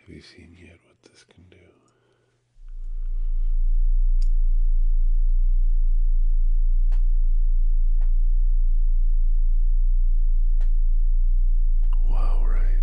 Have you seen yet what this can do? Wow, right.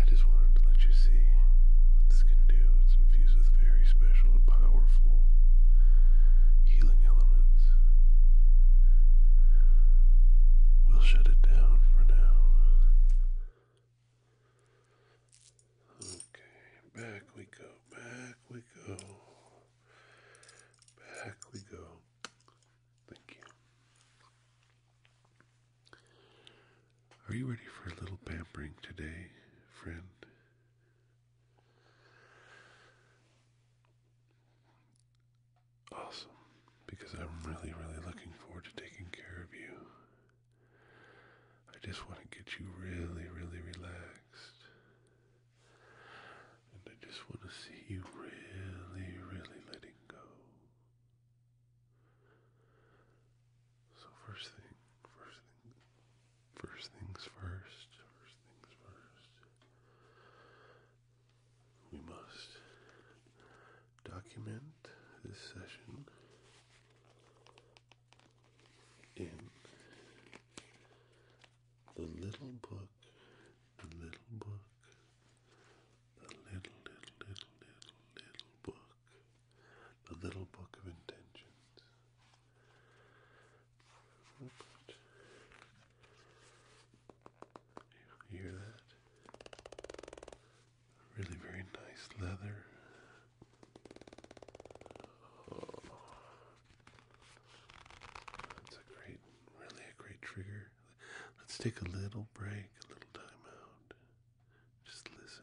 I just wanted to let you see what this can do. It's infused with very special and powerful healing elements. We'll shut it down for now. Okay, back we go, back we go. Back we go. Thank you. Are you ready for a little pampering today, friend? Awesome, because I'm really, really looking forward to taking care of you. I just want to get you really, really relaxed. And I just want to see you really, really letting go. So, first thing, first thing, first things first, we must document this session in the little book, the little book, the little, little, little, little, book, the little book of intentions. You hear that? Really, very nice leather. That's a great, really a great trigger. Let's take a little break, a little time out. Just listen.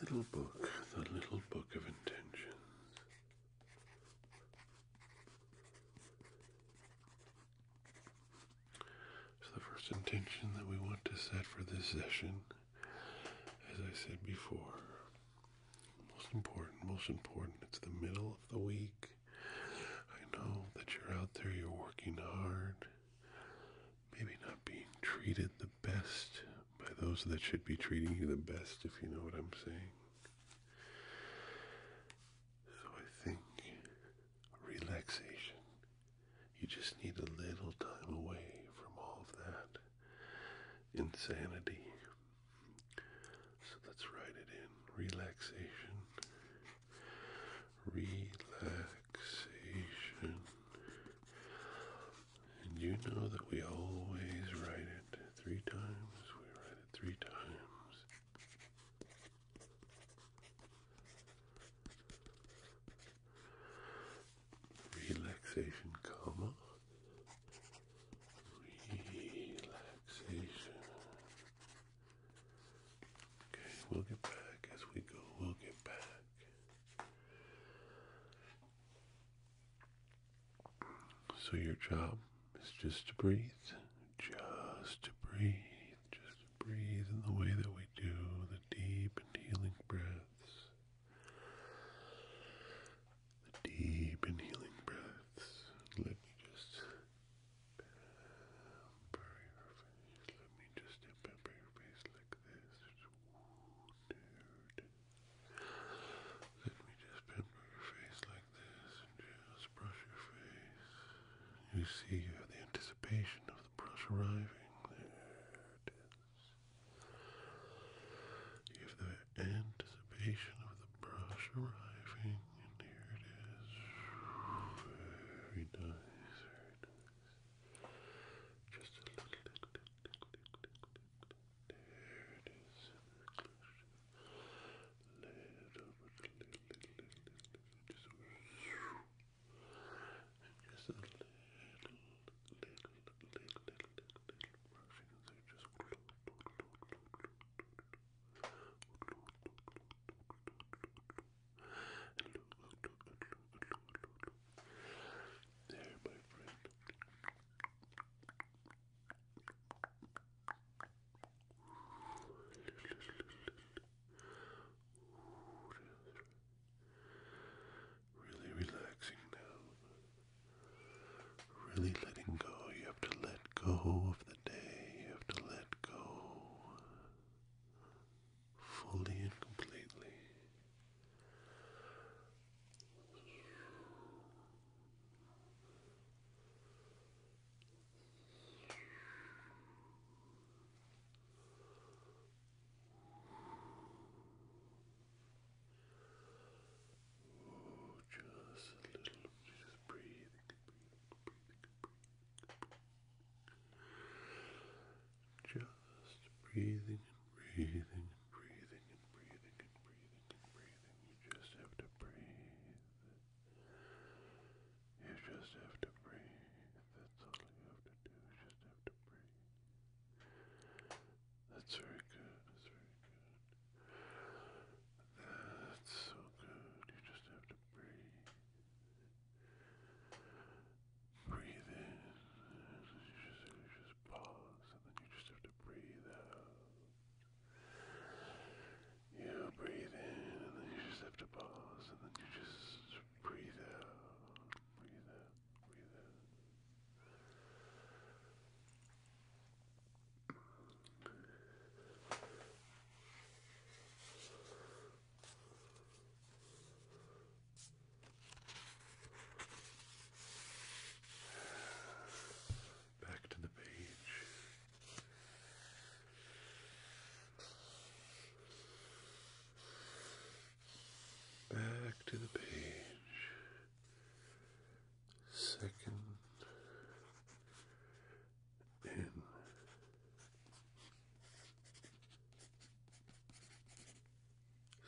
Little book, the little book of intentions. So, the first intention that we want to set for this session, as I said before, most important, most important, it's the middle of the week. I know that you're out there, you're working hard maybe not being treated the best by those that should be treating you the best, if you know what I'm saying. So I think relaxation, you just need a little time away from all of that insanity. So let's write it in relaxation relaxation. And you know that we always write it three times. We write it three times. Relaxation, comma. Relaxation. Okay, we'll get back as we go. We'll get back. So your job is just to breathe, just to breathe, just to breathe in the way that we do the deep and healing breaths. The deep and healing breaths. Let me just Bury her face. Let me just bury her face like this. Ooh, dude. Let me just bend your face like this and just brush your face. You see, you have the anticipation of the brush arriving. There it is. You have the anticipation of the brush arriving and here it is. Very nice, very nice. Just a little tick, tick, tick, tick, tick, tick. There it is. Little bit, little, little, little, little, just a little. Just a little, little, little, little, little, little brushing. So just. Just there, my friend. Really relaxing now. Really letting go. You have to let go of the day. You have to let go fully and completely. just a little, just breathing, breathing. Just breathing and breathing and breathing and breathing and breathing and breathing. You just have to breathe. You just have to breathe. That's all you have to do. You just have to breathe. That's very good. That's very good. That's so good. You just have to breathe. Breathe in, you just, you just pause, and then you just have to breathe out. You breathe in, and then you just have to pause, and then you just breathe out, breathe out, breathe out. Back to the page. Back to the page.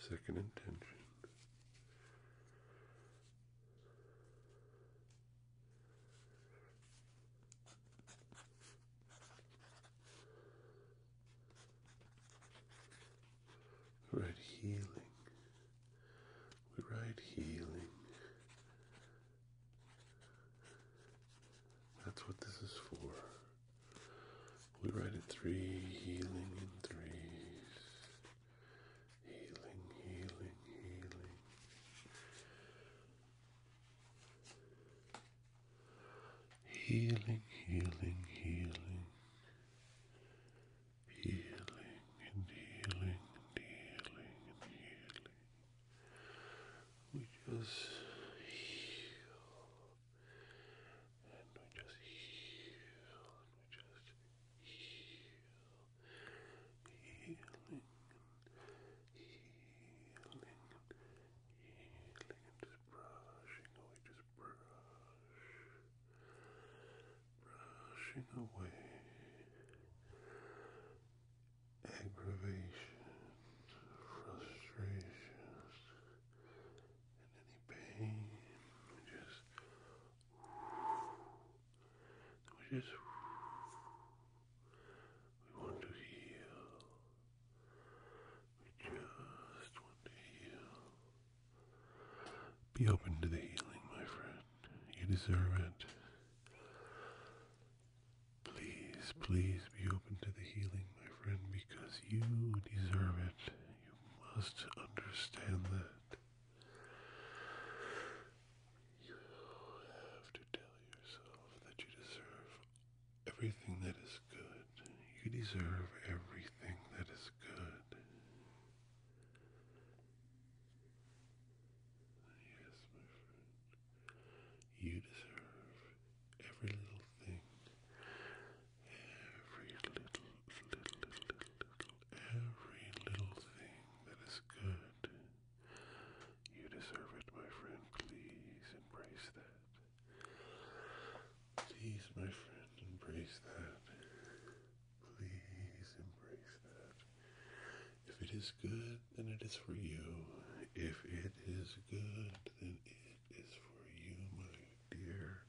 Second intention. write healing. We write healing that's what this is for. We write it three, healing in threes. Healing, healing, healing. Healing, healing, healing. Healing and healing and healing and healing. We just heal and we just heal and we just heal, healing healing healing and just brushing away, just brush, brushing away aggravation, frustration, and any pain. We just, we just, we want to heal. We just want to heal. Be open to the healing, my friend. You deserve it. Please, please be open to the healing, my friend, because you deserve it. You must understand that. You have to tell yourself that you deserve everything that is good. You deserve everything that is good. Yes, my friend. You deserve every little thing, every little, little, little, little, every little thing that is good. You deserve it, my friend. Please embrace that. Please, my friend, embrace that. Please embrace that. If it is good, then it is for you. If it is good, then it is for you, my dear,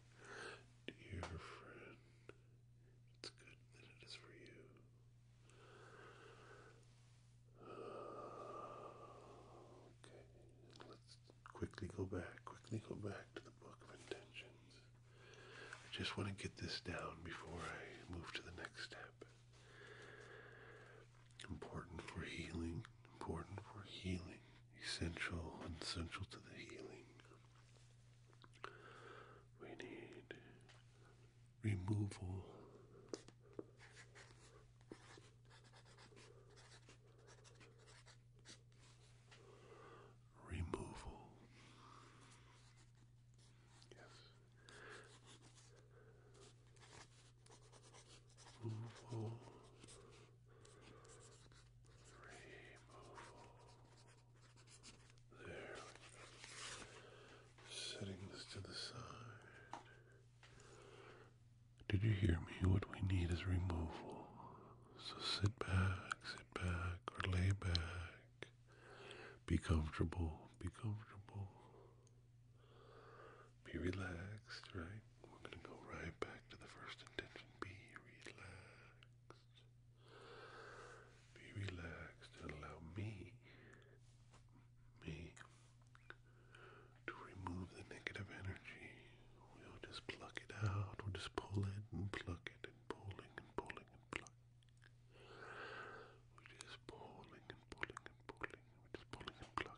dear friend. It's good, then it is for you. Okay, let's quickly go back, quickly go back to the book of intentions. I just want to get this down before I move to the next step. Important for healing, important for healing, essential, essential to the healing. We need removal removal yes Removal. There. Setting this to the side. Did you hear me? What we need is removal. So sit back, sit back, or lay back. Be comfortable. Be comfortable. Be relaxed, right? We're going to go right back to the first intention. Be relaxed. Be relaxed and allow me, me, to remove the negative energy. We'll just pluck it out. We'll just pull it and pluck it and pulling and pulling and pluck. We're just pulling and pulling and pulling. we just pulling and plucking, okay?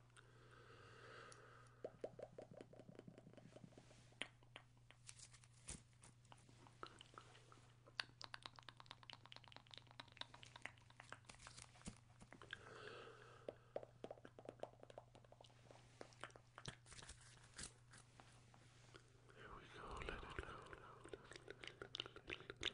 There we go, let it go, let it go, let it go. Let it go.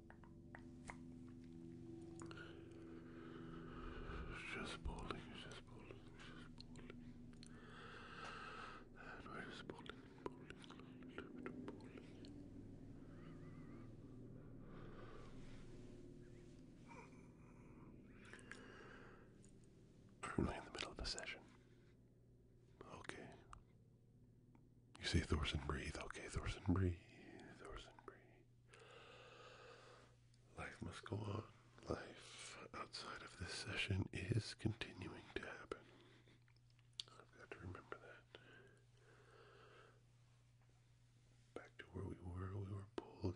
It's just pulling, it's just pulling, just pulling. And we're just pulling, pulling, a little Currently in the middle of a session. Okay, you say Thorson breathe. Okay, Thorson breathe. Thorson breathe. Life must go on. Life outside of this session is continuing to happen. I've got to remember that. Back to where we were. We were pulling.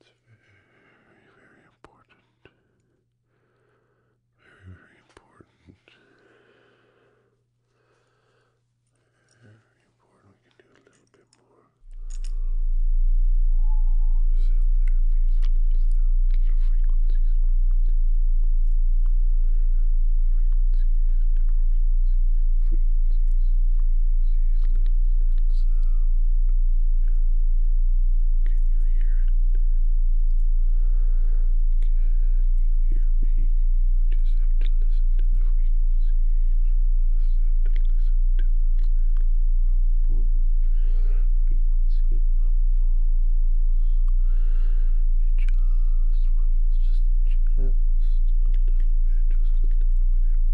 It's very, very important. Very, very important. Very important. We can do a little bit more cell little, little frequencies, frequencies, frequencies, frequencies, frequencies, frequencies, little, little, sound. Can you hear it? Can you hear me? You just have to listen to the frequency. You just have to listen to the little rumble frequency. It rumbles. It just rumbles just just a little bit, just a little bit.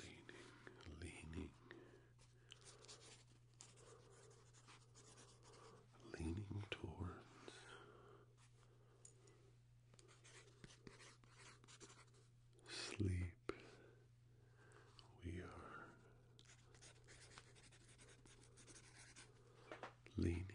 Leaning, leaning, leaning towards sleep, we are leaning.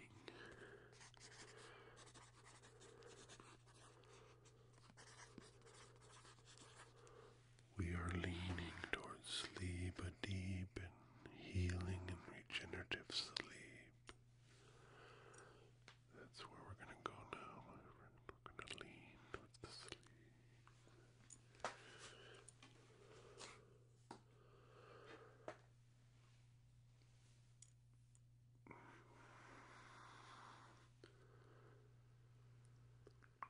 We are leaning towards sleep, a deep and healing and regenerative sleep. That's where we're going to go now, We're going to lean towards the sleep.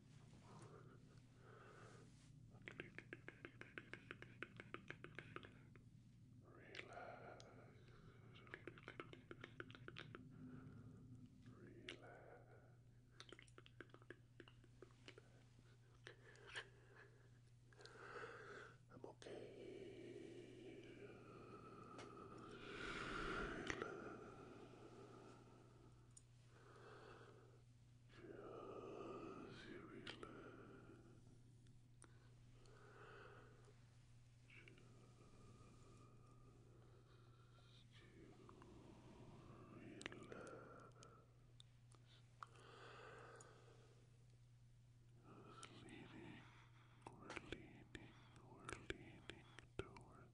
Relax. Relax. I'm okay. Relax. Just you relax. Just you relax. Just leaning, we're leaning, we're leaning towards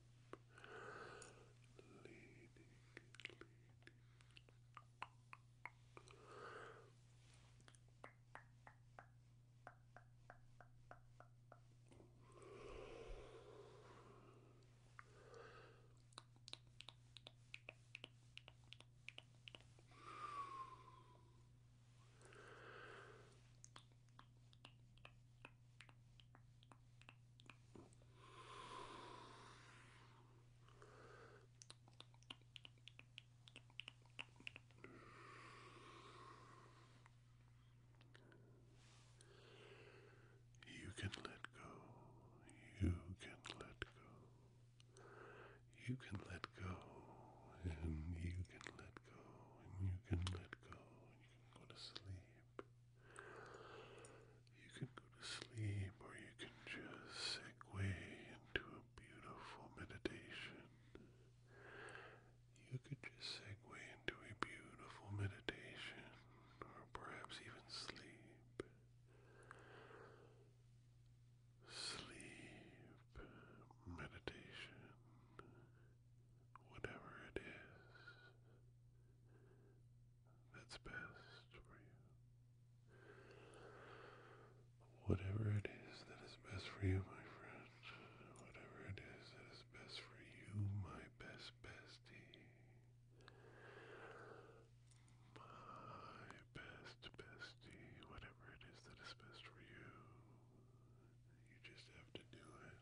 leading, leading. Leading, you can let go. You can let go. You can let go. And you can let go. And you can let go. And you can go to sleep. You can go to sleep or you can just segue into a beautiful meditation. You could just segue into a beautiful meditation or perhaps even sleep. Sleep, meditation, whatever it is that's best for you. Whatever it is that is best for you, my friend. Whatever it is that is best for you, my best bestie. My best bestie. Whatever it is that is best for you. You just have to do it.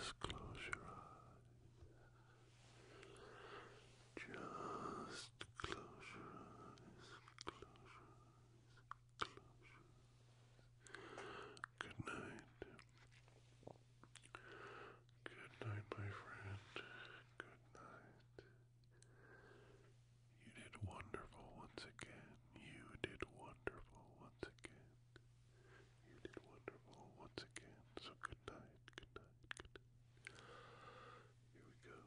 Just close your eyes. Just close your eyes. Just close your eyes. Close Close your eyes. Good night. Good night, my friend. Good night. You did wonderful once again. You did wonderful once again. You did wonderful once again. So good night. Good night. Here we go.